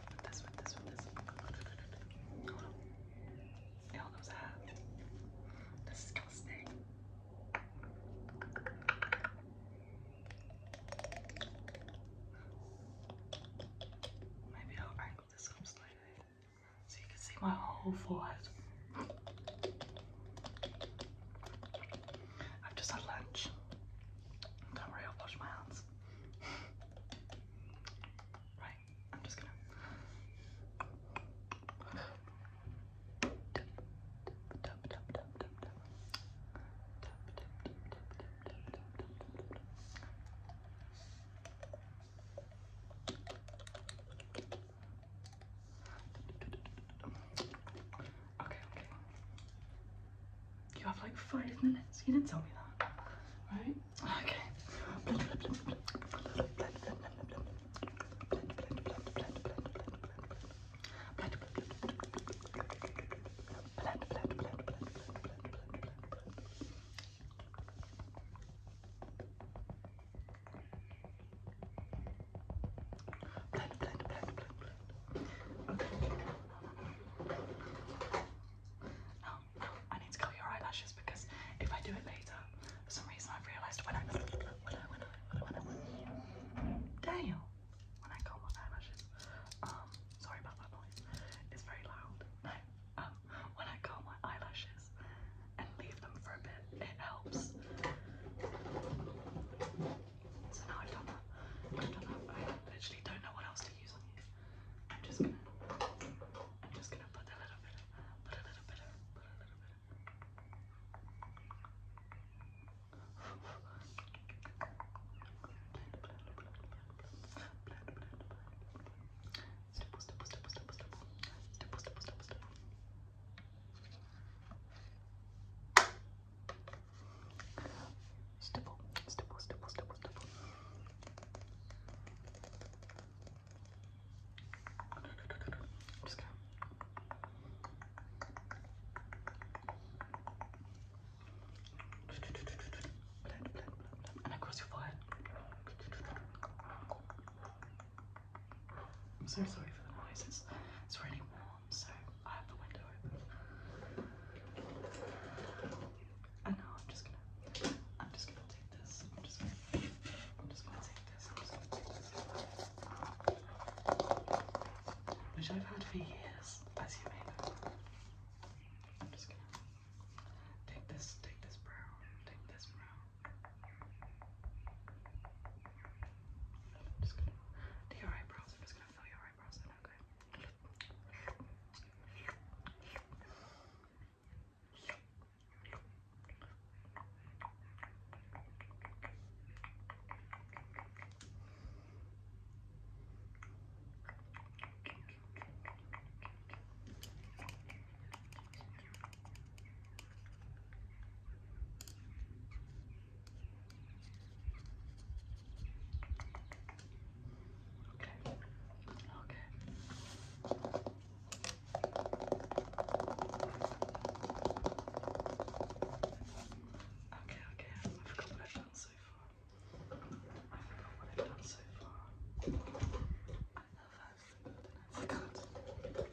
But that's what this one is. Hold on. It all goes half. Disgusting. Maybe I'll angle this up slightly so you can see my whole forehead. I've just had lunch. Don't worry, I'll wash my hands. Right, I'm just gonna. Okay, okay. You have like five minutes. You didn't tell me that. Right? Okay. Oh, I need to curl your eyelashes because if I do it later, for some reason I've realised when I when I when I when I when I, Dale, when I curl my eyelashes, um, sorry about that noise. It's very loud. No, um, when I curl my eyelashes and leave them for a bit, it helps. So now I've done that. I've done that. I literally don't know what else to use on you. I'm just gonna I'm just gonna put a little bit of put a little bit of put a little bit of Stipple, stipple, stipple, stipple, stipple. Stipple, stipple, stipple, stipple. Stipple, stipple, stipple, stipple, stipple. I'm just gonna blend, blend, blend, blend, and across your forehead. I'm so sorry for the noise. It's, really warm, so I have the window open. And now I'm just gonna, I'm just gonna take this. I'm just gonna, I'm just gonna take this. I'm just gonna take this. Which I've had for years, as you may know. I'm just gonna take this, take this brown, take this brown. I'm just gonna do your eyebrows. I'm just gonna fill your eyebrows in, okay? Okay. Okay. Okay. Okay, okay, I forgot what I've done so far. I forgot what I've done so far. I love that, and I forgot.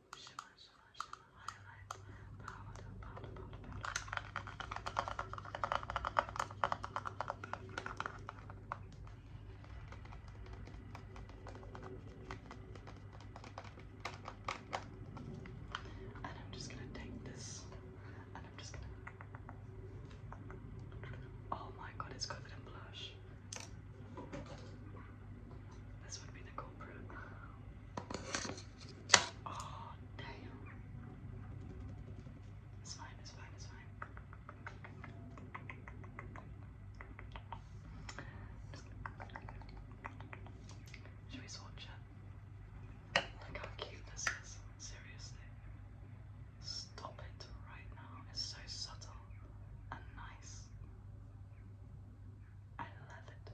shimmer, shimmer, And I'm just gonna take this, and I'm just gonna. Oh my god, it's covered blush. This would be the culprit. Oh, damn. It's fine, it's fine, it's fine. Should we swatch it? Look how cute this is. Seriously. Stop it right now. It's so subtle and nice. I love it.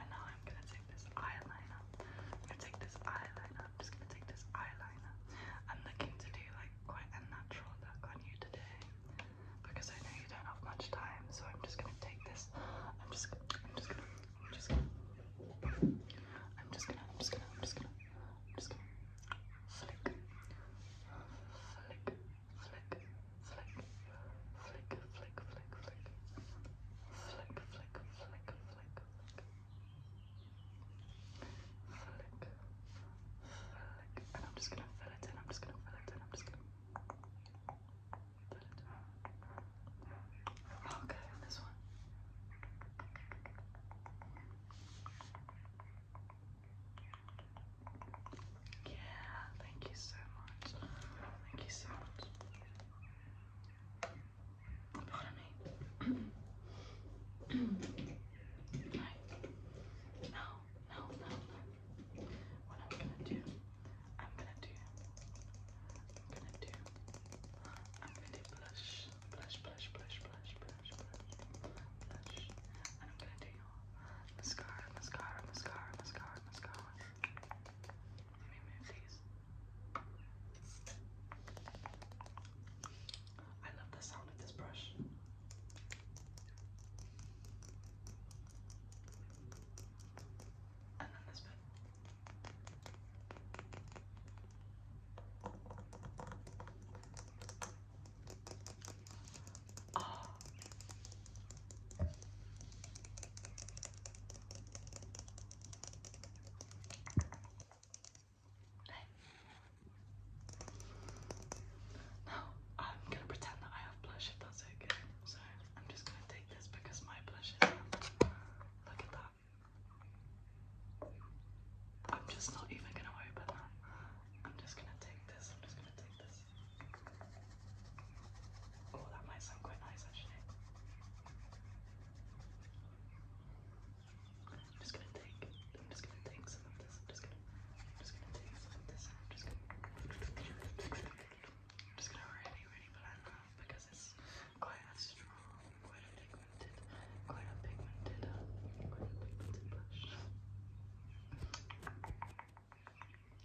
And now I'm gonna take this eyeliner. I'm gonna take this eyeliner. I'm just gonna take this eyeliner. I'm looking to do like quite a natural look on you today because I know you don't have much time. So I'm just gonna take this. I'm just. I'm just gonna. I'm just gonna. I'm just gonna. I'm just gonna. I'm just gonna. I'm just gonna. Flick. Flick. Flick. Flick. Flick. Flick. Flick. Flick. Flick flick, flick, flick, flick, flick. Flick, flick. And I'm just gonna fill it in, I'm just gonna fill it in, I'm just gonna fill it in. Okay, this one. Yeah, thank you so much. Thank you so much. Pardon me. right. What I'm gonna do, I'm gonna do, I'm gonna do, I'm gonna do blush, blush, blush, blush, blush, blush, blush. And I'm gonna do mascara, mascara, mascara, mascara, mascara. Let me I love the sound of this brush. And then this bit. Oh. I'm gonna pretend that I have blush if that's okay. So I'm just gonna take this because my blush is up. Look at that. I'm just not even gonna worry about that. I'm just gonna take this, I'm just gonna take this. Oh, that might sound quite nice actually. I'm just gonna take I'm just gonna take some of this. I'm just gonna I'm just gonna take some of this I'm just gonna I'm just gonna really really blend that because it's quite a strong, quite a pigmented, quite a pigmented, quite a pigmented blush.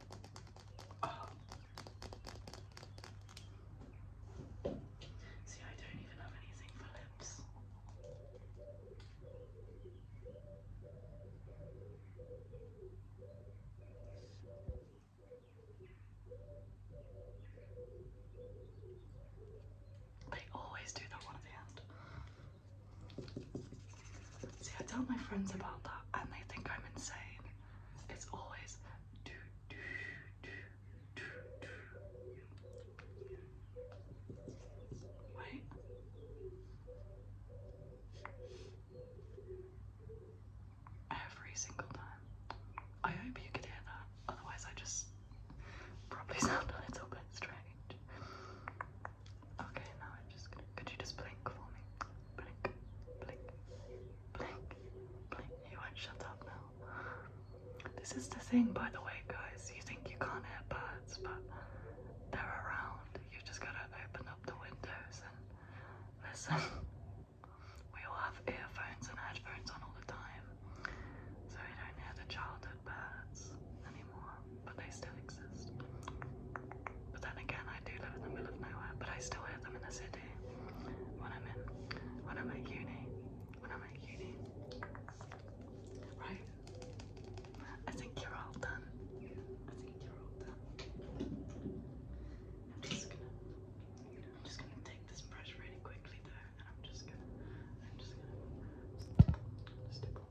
See, I don't even have anything for lips. I always do that one at the end. See, I tell my friends about that and they think I'm insane. It's always do do do do do. Wait. Every single time. I hope you could hear that. Otherwise, I just probably sound a little bit strange. Okay, now i just Could you just blink for me? Blink, blink, blink, blink. You won't shut up now. This is the thing, by the way, guys. You think you can't hear birds, but they're around. You just gotta open up the windows and listen. we all have earphones and headphones on all the time, so we don't hear the childhood birds anymore but they still exist. But then again, I do live in the middle of nowhere, but I still hear them in the city when I'm in, when I'm at uni, when I'm at uni. Right? I think you're all done. I think you're all done. I'm just gonna, I'm just gonna take this brush really quickly though, and I'm just gonna, I'm just gonna, just, just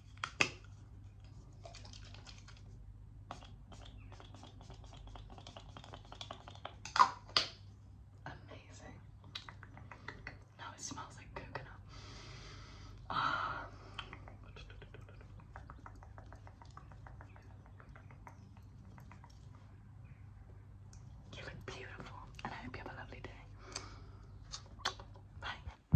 Amazing. Now it smells like coconut. Ah. You look beautiful, and I hope you have a lovely day. Bye.